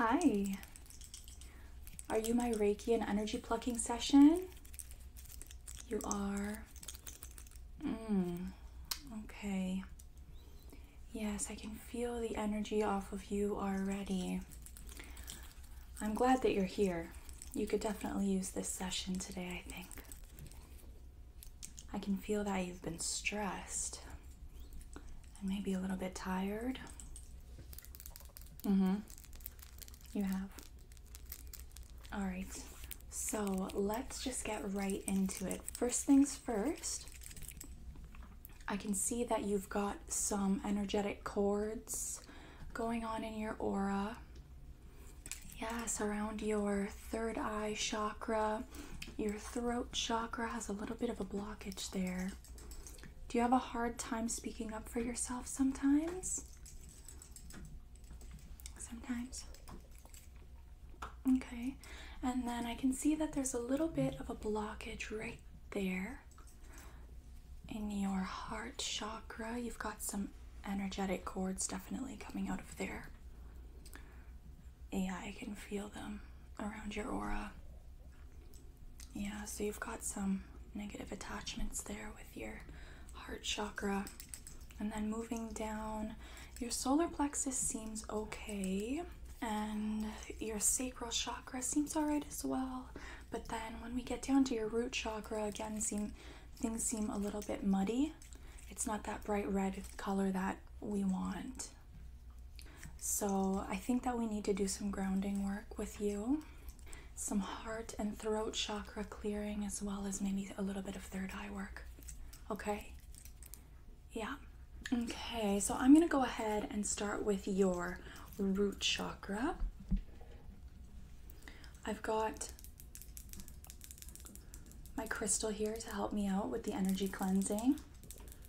Hi. Are you my Reiki and energy plucking session? You are. Mm, okay. Yes, I can feel the energy off of you already. I'm glad that you're here. You could definitely use this session today, I think. I can feel that you've been stressed and maybe a little bit tired. hmm. You have. All right. So let's just get right into it. First things first, I can see that you've got some energetic cords going on in your aura. Yes, around your third eye chakra your throat chakra has a little bit of a blockage there. Do you have a hard time speaking up for yourself sometimes? Sometimes. Okay, and then I can see that there's a little bit of a blockage right there in your heart chakra. You've got some energetic cords definitely coming out of there. Yeah, I can feel them around your aura. Yeah, so you've got some negative attachments there with your heart chakra. And then moving down, your solar plexus seems okay. And your sacral chakra seems alright as well. But then when we get down to your root chakra, again, seem, things seem a little bit muddy. It's not that bright red color that we want. So I think that we need to do some grounding work with you, some heart and throat chakra clearing, as well as maybe a little bit of third eye work. Okay? Yeah. Okay, so I'm going to go ahead and start with your root chakra. I've got my crystal here to help me out with the energy cleansing,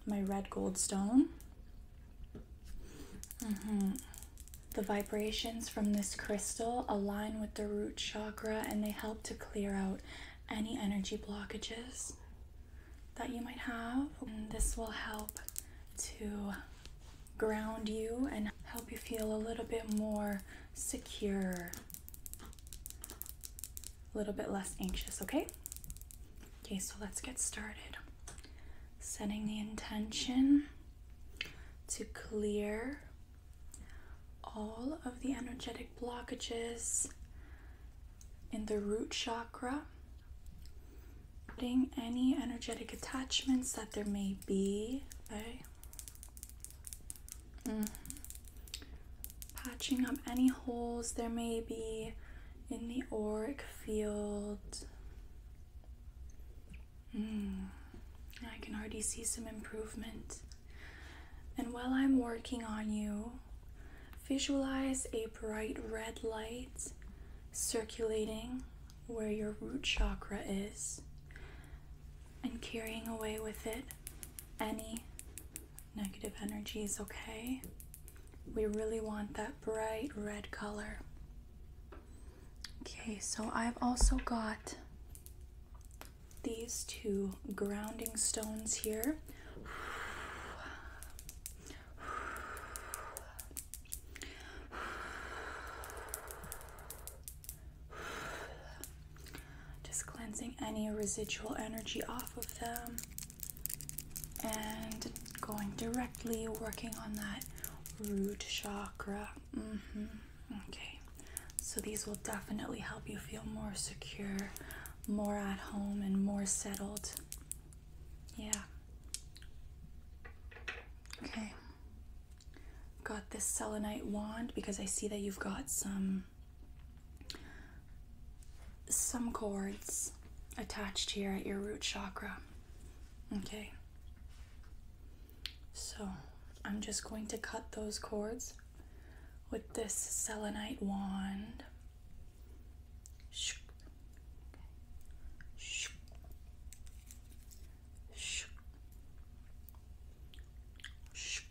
my red gold stone. Mm-hmm. The vibrations from this crystal align with the root chakra and they help to clear out any energy blockages that you might have. this will help to ground you and help you feel a little bit more secure a little bit less anxious, okay? Okay, so let's get started. Setting the intention to clear all of the energetic blockages in the root chakra, putting any energetic attachments that there may be, okay? Mm-hmm. Patching up any holes there may be in the auric field. Hmm. I can already see some improvement. And while I'm working on you, visualize a bright red light circulating where your root chakra is and carrying away with it any negative energies, okay? We really want that bright red color. Okay, so I've also got these two grounding stones here. Just cleansing any residual energy off of them and going directly working on that root chakra. Mm-hmm. Okay, so these will definitely help you feel more secure, more at home, and more settled. Yeah. Okay got this selenite wand because I see that you've got some some cords attached here at your root chakra. Okay. So, I'm just going to cut those cords with this selenite wand. Okay. Shh. Shh.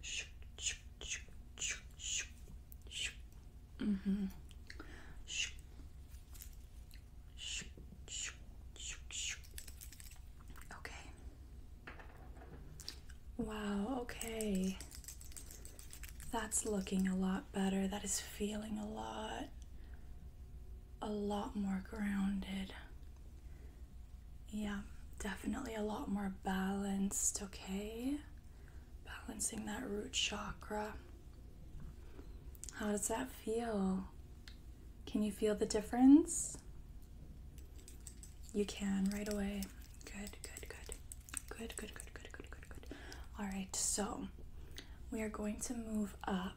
Shh. Shh. Shh. Shh. hmm Shh. Shh. Shh. Shh. Shh. Okay. Wow, okay. That's looking a lot better. That is feeling a lot a lot more grounded. Yeah, definitely a lot more balanced, okay? Balancing that root chakra. How does that feel? Can you feel the difference? You can right away. Good, good, good. Good, good, good, good, good, good, good. All right, so we are going to move up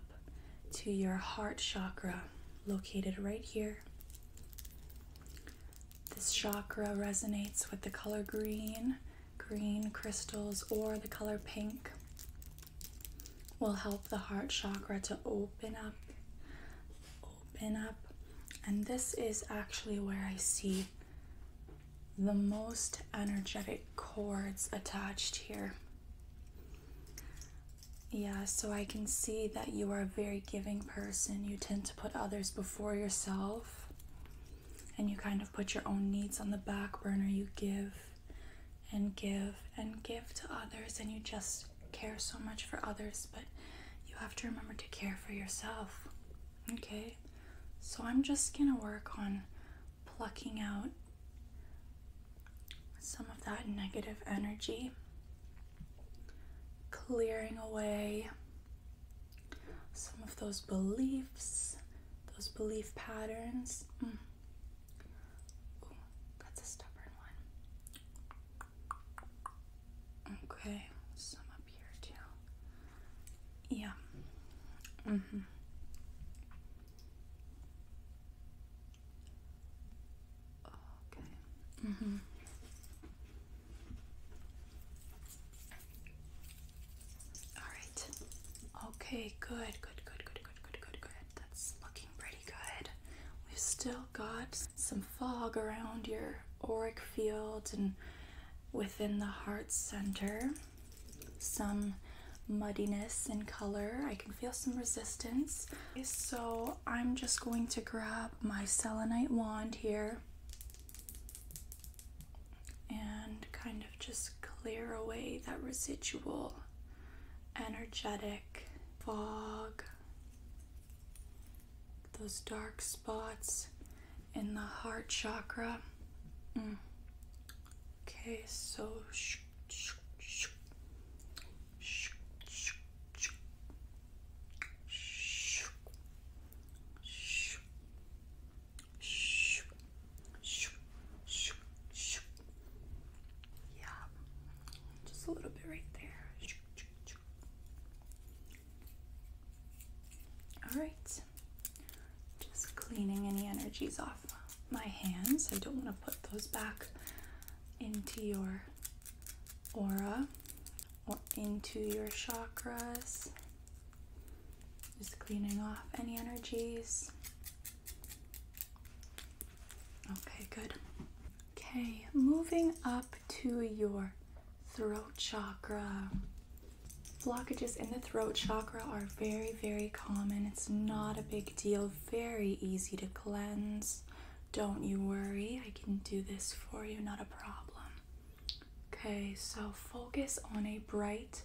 to your heart chakra, located right here. This chakra resonates with the color green, green crystals, or the color pink. Will help the heart chakra to open up, open up. And this is actually where I see the most energetic cords attached here. Yeah, so I can see that you are a very giving person. You tend to put others before yourself and you kind of put your own needs on the back burner. You give and give and give to others and you just care so much for others, but you have to remember to care for yourself. Okay? So I'm just going to work on plucking out some of that negative energy, clearing away some of those beliefs, those belief patterns. Mm. that's a stubborn one. Okay, some up here too. Yeah. Mm-hmm. Okay. Mm -hmm. All right. Okay, good, good, good, good, good, good, good, good. That's looking pretty good. We've still got some fog around your auric Fields and within the heart center some muddiness in color. I can feel some resistance. So I'm just going to grab my selenite wand here and kind of just clear away that residual energetic fog, those dark spots in the heart chakra. Mm. Okay, so sh sh sh sh sh sh sh sh sh sh sh yeah, just a little bit right there. All right, just cleaning any energies off my hands. I don't want to put those back into your aura or into your chakras. Just cleaning off any energies. Okay, good. Okay, moving up to your throat chakra blockages in the throat chakra are very, very common. It's not a big deal, very easy to cleanse. Don't you worry, I can do this for you, not a problem. Okay, so focus on a bright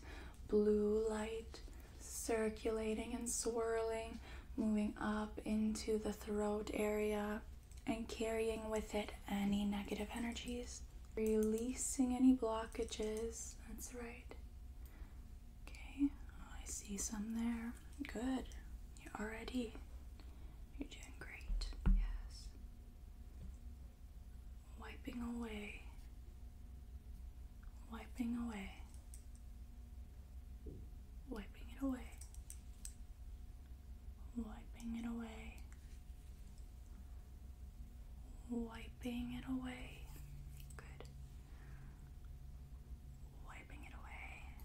blue light circulating and swirling, moving up into the throat area and carrying with it any negative energies Releasing any blockages. That's right. Okay, oh, I see some there. Good. You're already. You're doing great. Yes. Wiping away. Wiping away. Wiping it away. Wiping it away wiping it away. Good. Wiping it away.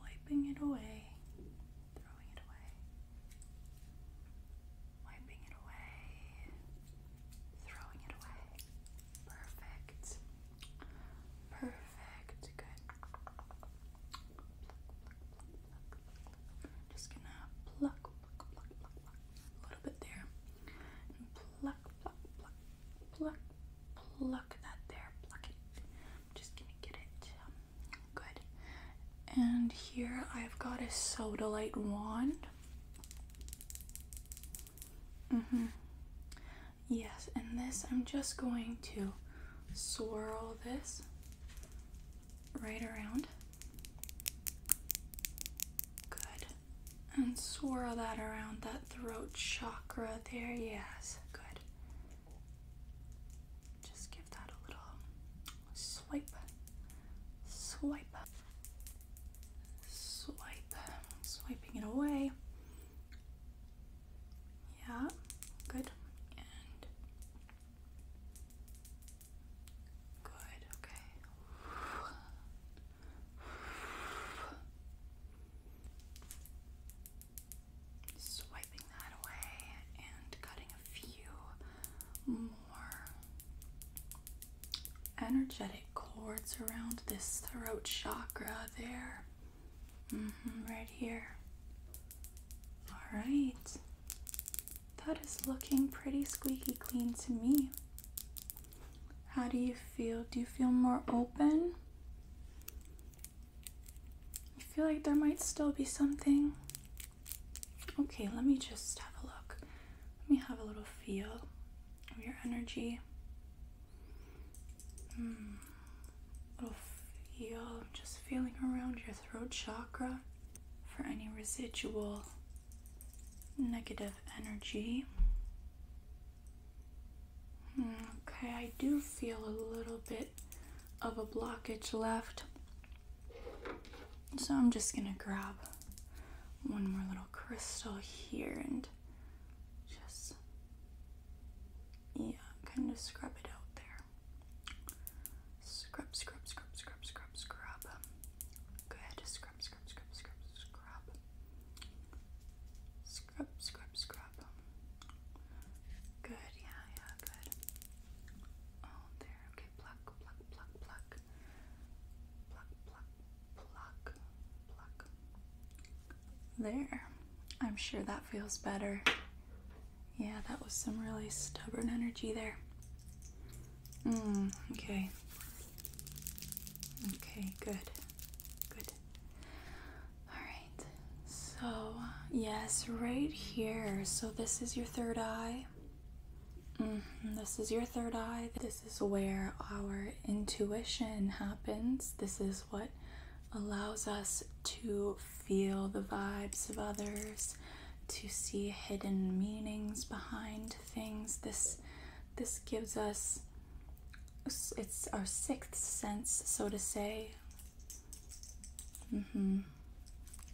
Wiping it away. Throwing it away. Wiping it away. Throwing it away. Perfect. Perfect. Good. Just gonna pluck, pluck, pluck, pluck, a little bit there. And pluck, pluck, pluck, pluck, pluck that there. Pluck it. just gonna get it. Um, good. And here I've got a Sodalite wand. Mm-hmm. Yes, and this I'm just going to swirl this right around. Good. And swirl that around that throat chakra there. Yes, good. Just give that a little swipe, swipe, swipe, swiping it away. Yeah, good. And good, okay. Swiping that away and cutting a few more energetic cords around this throat chakra there. Mm-hmm, right here. All right. That is looking pretty squeaky clean to me. How do you feel? Do you feel more open? I feel like there might still be something. Okay, let me just have a look. Let me have a little feel of your energy mm, will feel just feeling around your throat chakra for any residual negative energy. Hmm, okay, I do feel a little bit of a blockage left. So I'm just gonna grab one more little crystal here and just yeah, kind of scrub it out there. Scrub, scrub, scrub, scrub, scrub, scrub. Good. Scrub, scrub, scrub, scrub, scrub. Scrub, scrub, scrub. Good. Yeah, yeah, good. Oh, there. Okay. Pluck, pluck, pluck, pluck. Pluck, pluck, pluck, pluck. There. I'm sure that feels better. Yeah, that was some really stubborn energy there. Mm, okay. Okay, good. Good. Alright. So, yes, right here. So, this is your third eye. Mm-hmm, this is your third eye. This is where our intuition happens. This is what allows us to feel the vibes of others, to see hidden meanings behind things. This this gives us it's our sixth sense, so to say. Mm-hmm.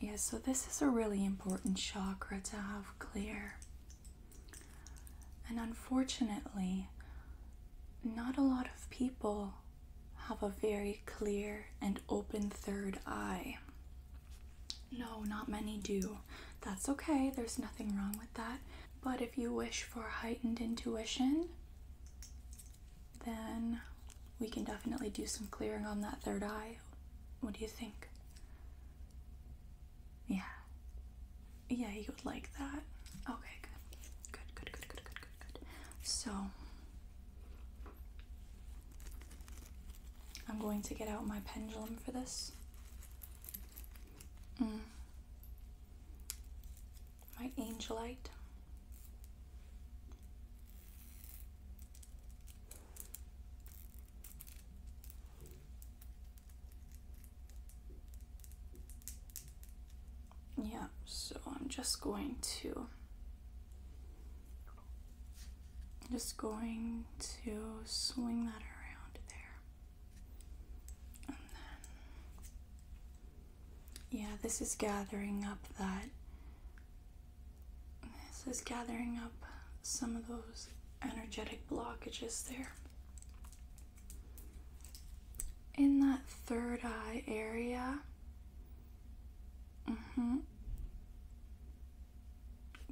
Yes. so this is a really important chakra to have clear. And unfortunately, not a lot of people have a very clear and open third eye. No, not many do. That's okay, there's nothing wrong with that. But if you wish for heightened intuition, then we can definitely do some clearing on that third eye. What do you think? Yeah. Yeah, you would like that. Okay, good. Good, good, good, good, good, good, good. So I'm going to get out my pendulum for this. Mm. My angelite yeah, so I'm just going to just going to swing that around there. yeah, this is gathering up that this is gathering up some of those energetic blockages there in that third eye area. Mhm.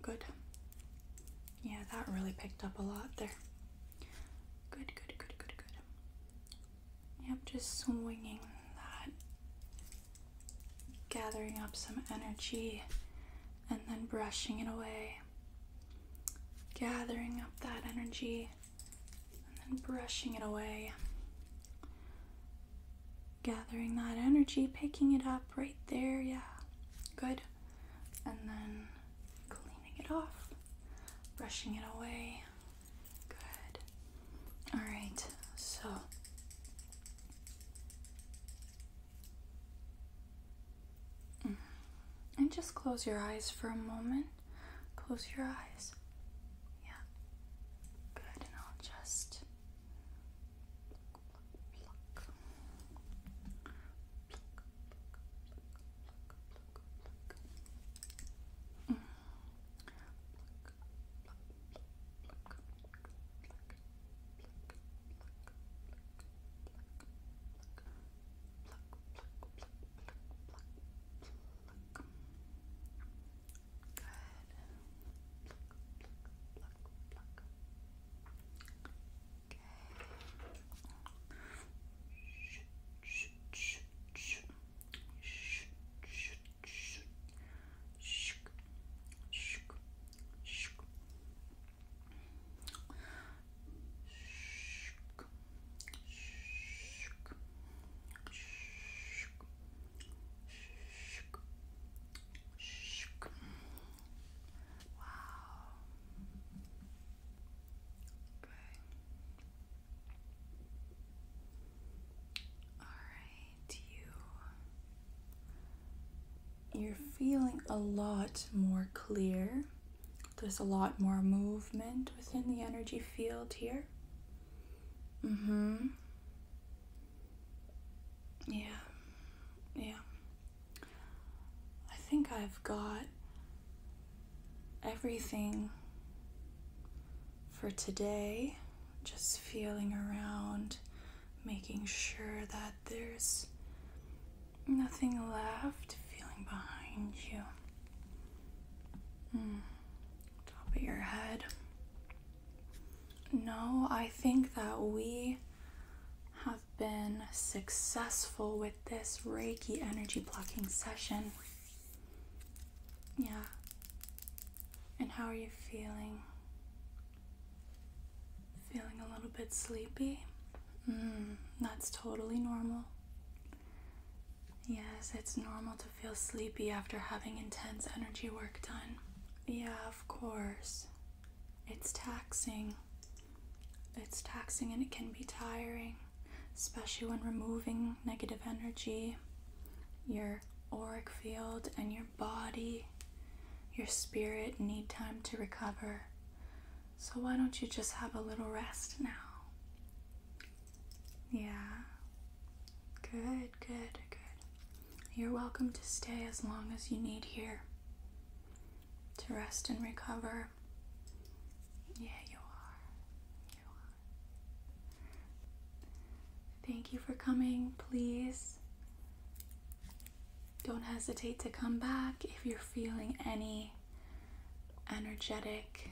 Good. Yeah, that really picked up a lot there. Good, good, good, good, good. Yep, just swinging that, gathering up some energy, and then brushing it away. Gathering up that energy and brushing it away. Gathering that energy, picking it up right there, yeah, good. And then cleaning it off, brushing it away, good. All right, so and just close your eyes for a moment. Close your eyes. Yeah. Good. just pluck, pluck, Good. Okay. shh, shh, shh. Shh, shh, shh. Shh, shh, shh. Wow. Okay. All right, you. You're feeling a lot more clear there's a lot more movement within the energy field here. Mm hmm. Yeah. Yeah. I think I've got everything for today. Just feeling around, making sure that there's Nothing left feeling behind you. Mm. Top of your head. No, I think that we have been successful with this Reiki energy blocking session. Yeah. And how are you feeling? Feeling a little bit sleepy? Mm, that's totally normal. Yes, it's normal to feel sleepy after having intense energy work done. Yeah, of course. It's taxing. It's taxing and it can be tiring, especially when removing negative energy, your auric field, and your body, your spirit need time to recover. So why don't you just have a little rest now? Yeah. Good, good, good. You're welcome to stay as long as you need here to rest and recover. Yeah, you are. You are. Thank you for coming. Please don't hesitate to come back if you're feeling any energetic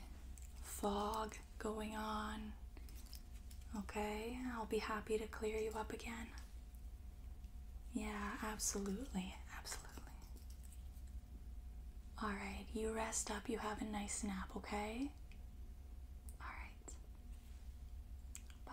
fog going on. Okay, I'll be happy to clear you up again. Yeah, absolutely, absolutely. All right, you rest up, you have a nice nap, okay? All right. Bye.